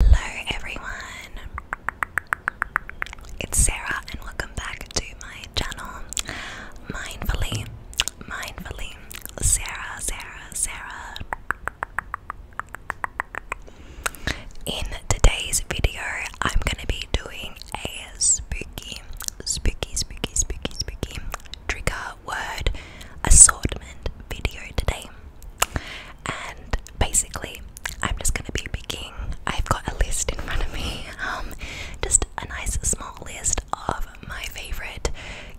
Hello everyone, it's Sarah, and welcome back to my channel. Mindfully, mindfully, Sarah, Sarah, Sarah. In today's video, I'm gonna be doing a spooky, spooky, spooky, spooky, spooky trigger word assortment video today and basically I'm just gonna be picking I've got a list in front of me um, just a nice small list of my favorite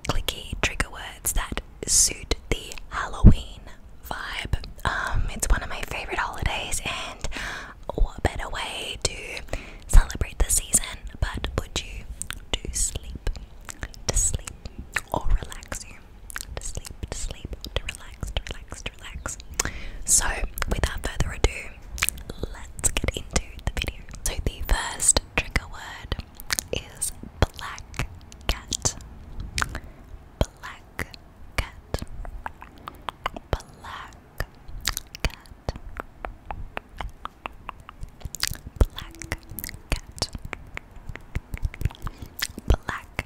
clicky trigger words that suit the Halloween vibe um, it's one of my favorite holidays and what better way to celebrate the season but put you to sleep to sleep or relax you to sleep, to sleep, to relax, to relax, to relax. So, without further ado, let's get into the video. So, the first trigger word is black cat. Black cat. Black cat. Black cat. Black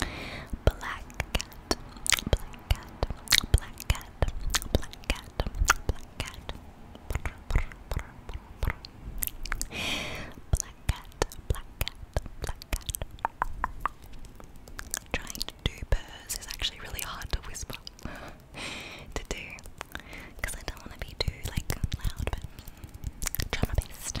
Black cat, black cat, black cat, black cat, black cat. Brr, brr, brr, brr, brr. Black cat, black cat, black cat. Trying to do purrs is actually really hard to whisper to do because I don't want to be too like loud, but try my best.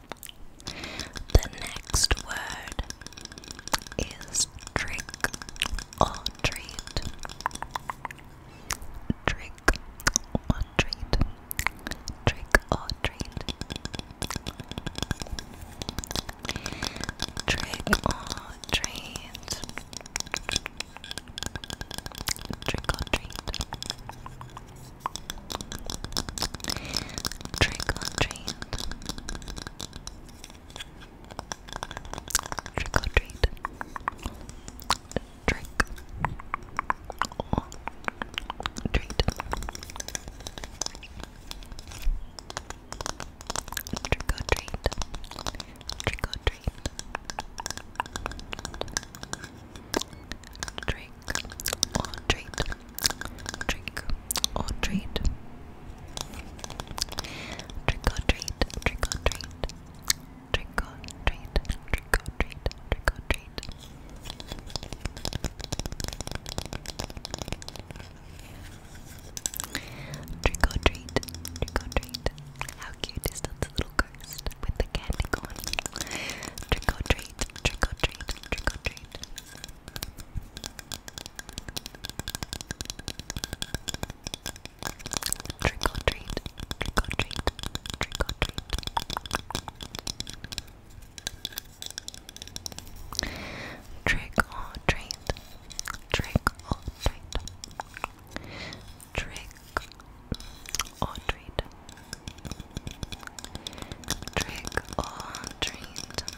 The next word is trick or treat. Trick or treat. Trick or treat. Trick or treat. Trick or treat. Trick or treat. Trick or treat. Trick treat. Trick or treat. Trick or treat. Trick or treat, trick or treat, trick or treat, trick or treat, trick or treat, trick or treat, trick or treat. Trick or treat, trick or treat. How cute is that little ghost with the candy corn? Trick or treat, trick or treat, trick or treat. Trick or treat, trick or treat, trick or treat. Trick or treat, trick or treat. Trick or treat. Trick or treat.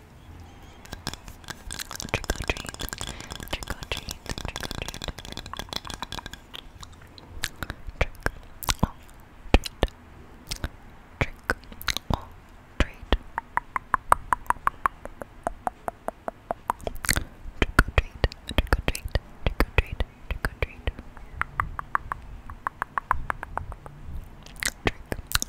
Trick or treat, trick or treat, trick or treat. Trick or treat, trick or treat. Trick or treat, trick or treat, trick or treat, trick or treat. Trick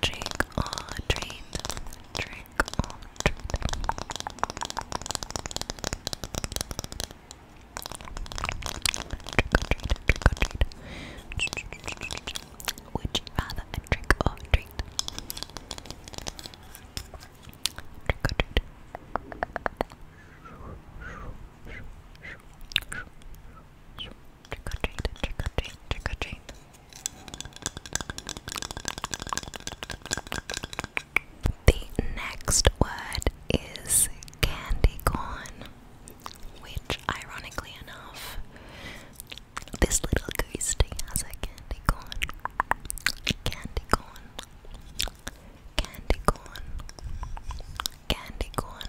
Trick or treat. Trick or treat. Trick or treat. Would you rather a trick Trick The next word is candy corn, which, ironically enough, this little ghosty has a candy corn. Candy corn. Candy corn. Candy corn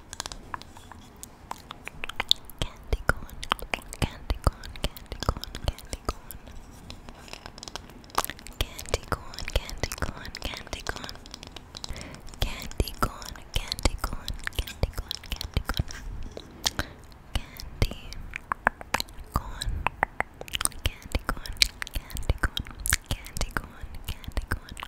Candy corn, candy corn, candy corn, candy corn. Candy corn, candy corn, candy corn. Candy corn, candy corn, candy corn, candy corn. Candy corn, candy corn, candy corn, candy corn, candy corn.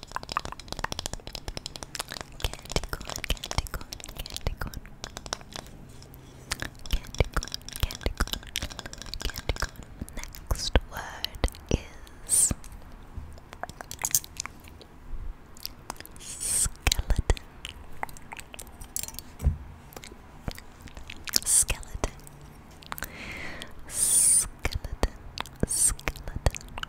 Candy corn, candy corn, candy corn. Candy corn, candy corn, candy corn. Next word is skeleton. Skeleton. Skeleton. Skeleton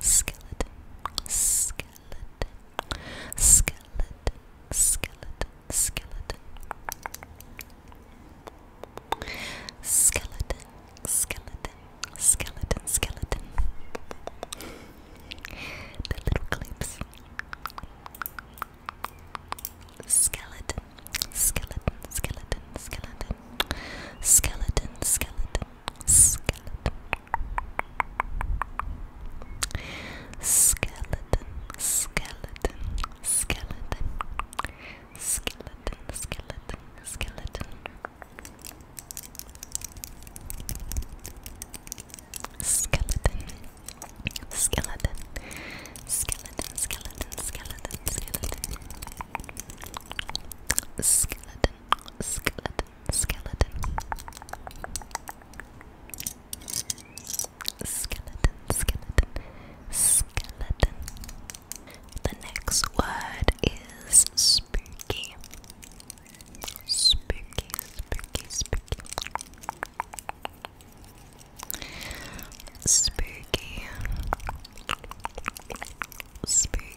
skeleton, skeleton, skeleton, skeleton, skeleton, skeleton, skeleton, skeleton, skeleton. The little clips. Skeleton, skeleton, skeleton, skeleton. Skeleton, skeleton, skeleton. Skeleton, skeleton, skeleton. Skeleton, skeleton, skeleton. Skeleton. Skeleton. Skeleton, skeleton, skeleton, skeleton. Skeleton, Skeleton, skeleton. Skeleton, skeleton, skeleton. The next word is spooky. Spooky, spooky, spooky. Spooky. Spooky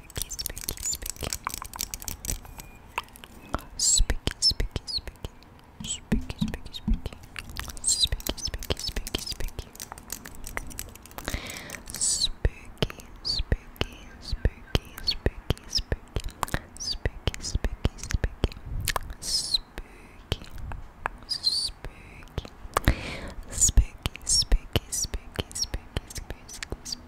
spooky, spooky, spooky. Spooky, spooky, spooky. Spooky, spooky, spooky. Spooky, spooky, spooky, spooky. Spooky, spooky, spooky, spooky, spooky. Spooky, spooky, spooky. Spooky, spooky. Spooky, spooky, spooky, spooky, spooky, spooky.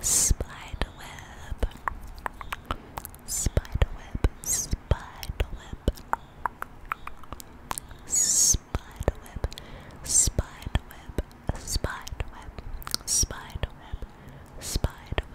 Spiderweb. Spiderweb. Spiderweb. Spiderweb. Spiderweb. Spiderweb. Spiderweb. Spiderweb. Spiderweb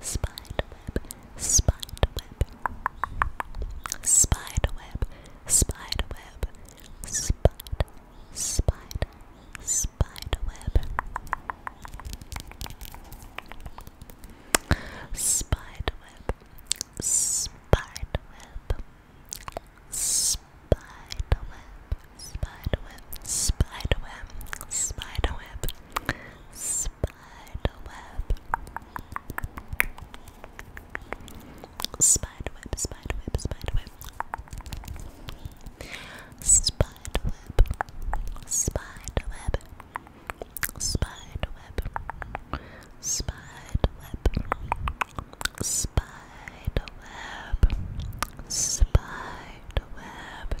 Spiderweb, spiderweb, spiderweb, spiderweb, spider, spider, spiderweb, spiderweb, spiderweb, spiderweb, spider web, spider web, spider web, spider web. Spiderweb, spiderweb, spiderweb. Spiderweb, spiderweb, spiderweb, spiderweb, spiderweb, spiderweb,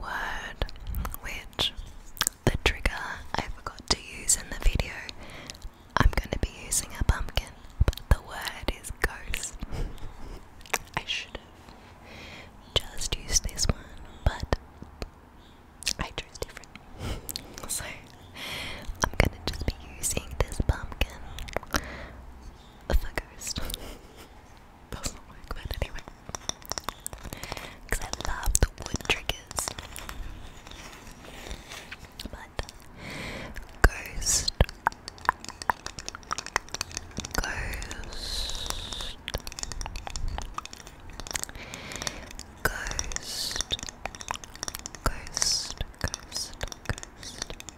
word which the trigger I forgot to use in the video. I'm going to be using a pumpkin, but the word is ghost. I should have just used this one, but I chose different. so I'm going to just be using this pumpkin for ghost. doesn't work, but anyway. I love the wood But, Ghost. Ghost. Ghost. Ghost. Ghost.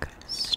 Ghost.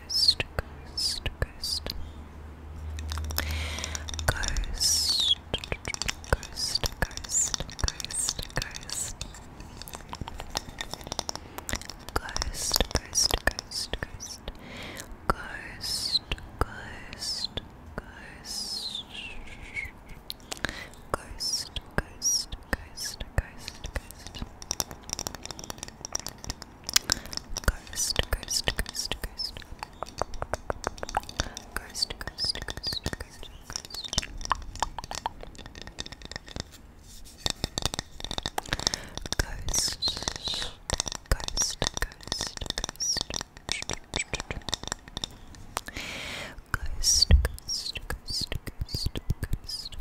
ghost, ghost, ghost, ghost, ghost, ghost, ghost, ghost. Ghost, ghost, ghost, ghost, ghost, ghost, ghost, ghost, ghost, ghost, ghost, ghost. Ghost, ghost, ghost, ghost. Ghost, ghost, ghost, ghost, ghost. Ghost, ghost, ghost, ghost. Ghost, ghost, ghost, ghost, ghost.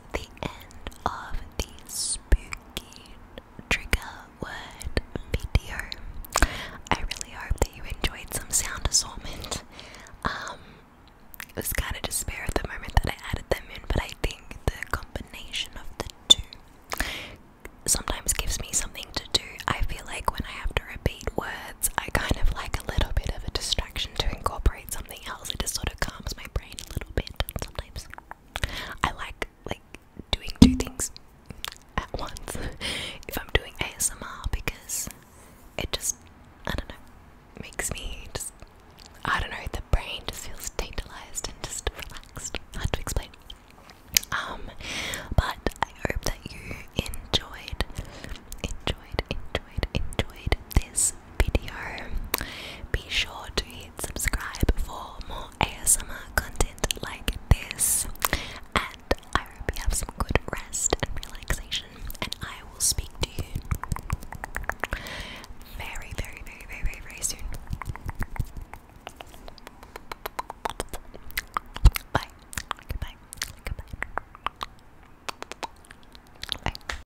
the end of the spooky trigger word video. I really hope that you enjoyed some sound assortment. Um, it was kind of despair at the moment that I added them in, but I think the combination of the two sometimes gives me something to do. I feel like when I have to repeat words, I kind of like a little bit of a distraction to incorporate something else. It just sort of calms my brain a little bit sometimes. I like like doing two things at once if I'm doing ASMR because it just I don't know makes me just I don't know the brain just feels tantalized and just relaxed. Hard to explain. Um, but I hope that you enjoyed, enjoyed, enjoyed, enjoyed this video. Be sure to hit subscribe for more ASMR content like this. And I hope you have some good rest and relaxation. And I will speak to you very, very, very, very, very, very soon. Bye. Goodbye. Goodbye. Bye.